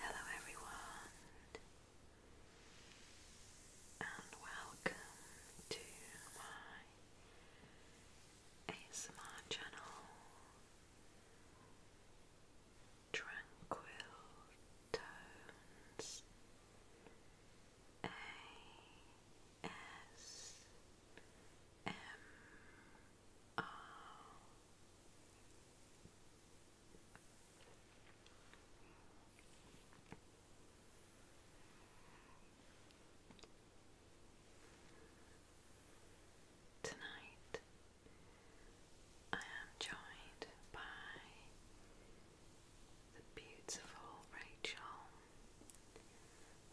Hello, everyone, and welcome to my ASMR channel Tranquil Tones. A S M R Tonight I am joined by the beautiful Rachel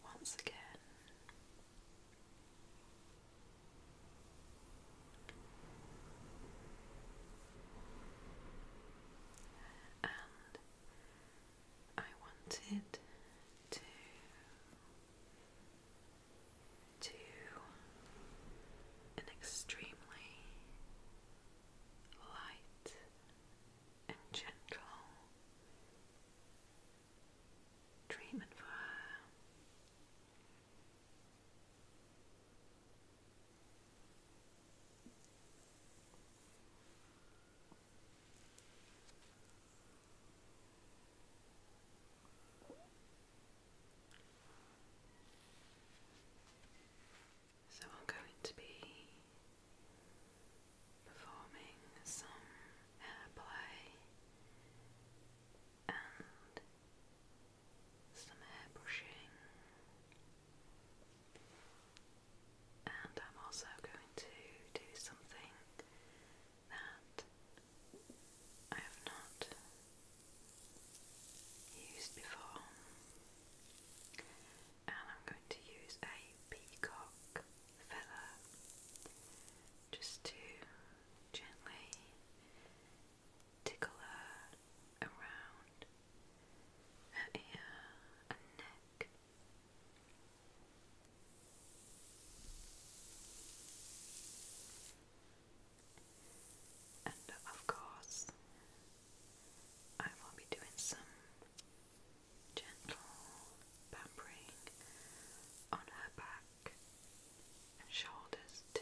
once again. And I wanted to do an extremely light and gentle treatment for her. So I'm going to be performing some airplay and some airbrushing, and I'm also going to do something that I have not used before and I'm going to use a peacock feather just to gently tickle her around her ear and neck. And of course, I will be doing some gentle pampering on her back and shoulders too.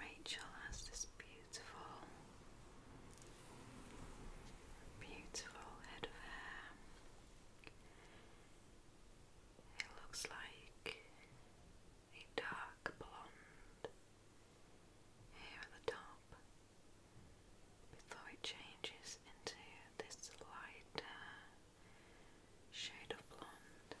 Rachel has this beautiful, beautiful hair. It looks like a dark blonde here at the top before it changes into this lighter shade of blonde.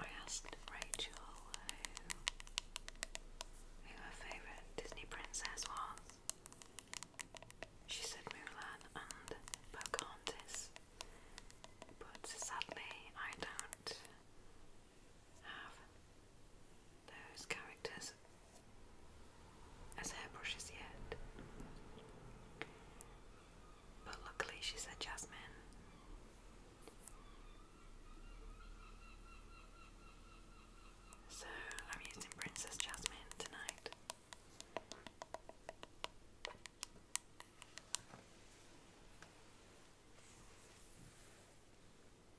I asked Rachel uh, who, her favourite Disney princess was. She said Mulan and Pocahontas, but sadly I don't have those characters as hairbrushes yet. But luckily, she said Jasmine. So I'm using Princess Jasmine tonight.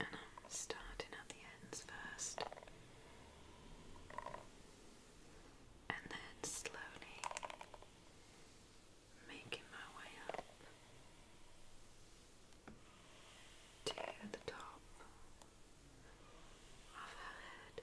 and I'm starting at the ends first and then slowly making my way up to the top of her head.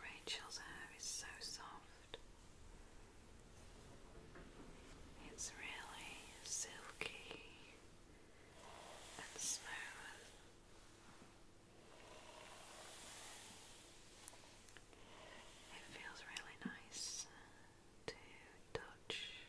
Rachel's hair is so soft. It's really silky and smooth. It feels really nice to touch.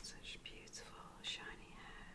Such beautiful, shiny hair.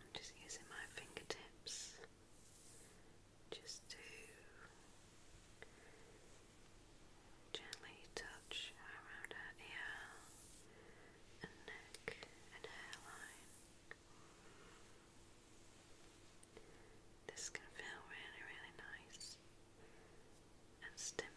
I'm just using my fingertips just to gently touch around her ear and neck and hairline. This can feel really, really nice and stimulating.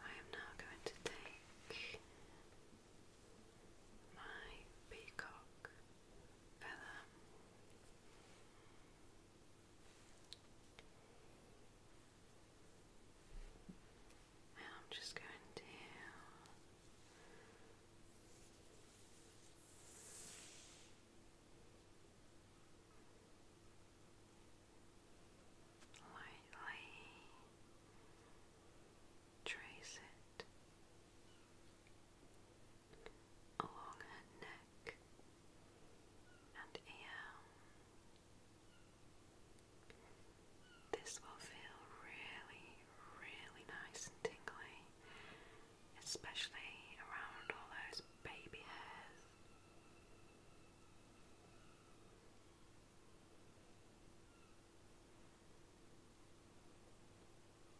I am now going to take my peacock feather and I'm just going down. Lightly trace it along her neck and ear. This will feel really, really nice and tingly, especially around all those baby hairs.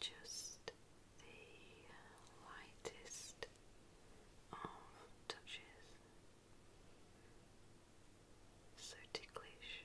just the lightest of touches. So ticklish.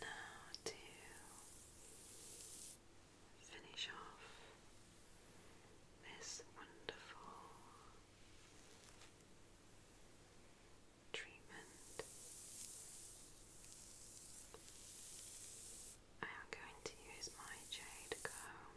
Now to finish off this wonderful treatment. I am going to use my jade comb.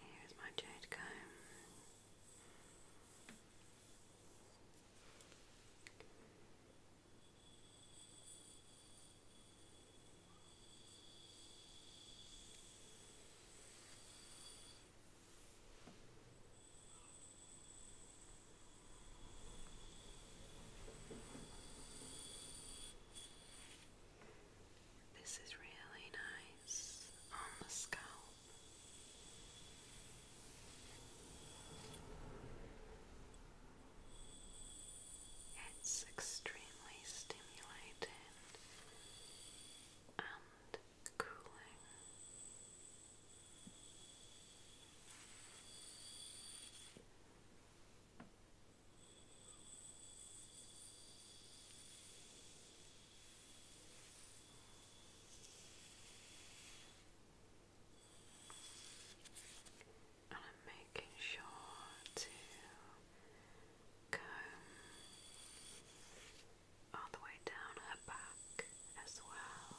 Here's my jade comb. This is really nice on the scalp. It's extremely stimulating and cooling. And I'm making sure to comb all the way down her back as well.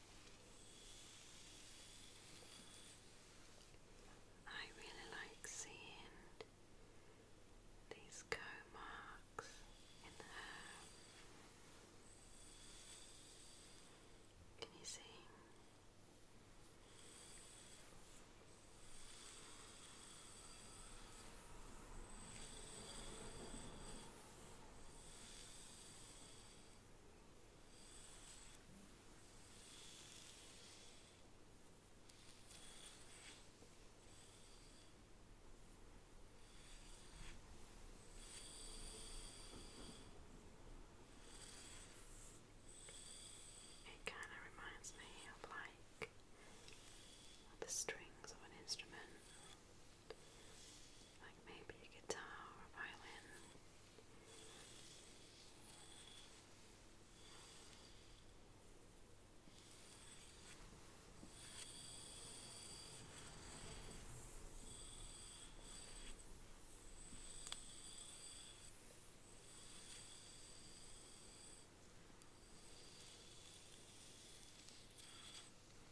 I really like seeing these go marks Can you see? It kind of reminds me of like the strings of an instrument. Like maybe a guitar or violin.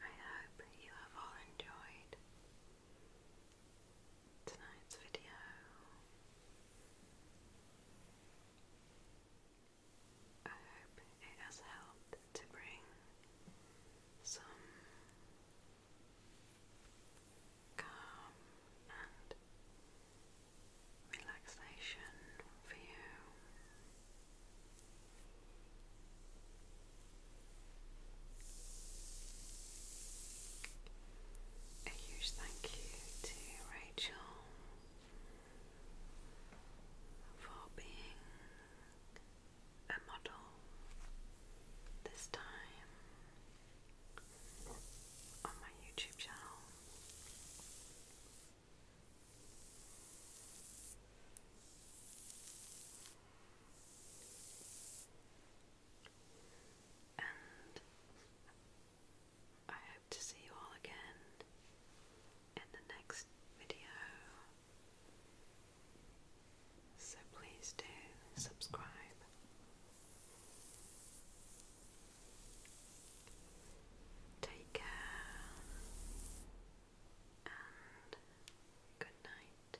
I hope you have all enjoyed tonight's video. I hope it has helped to bring some calm and relaxation for you. A huge thank you to Rachel for being a model this time on my YouTube channel. And I hope to see you all again in the next video. So please do subscribe Take care and good night.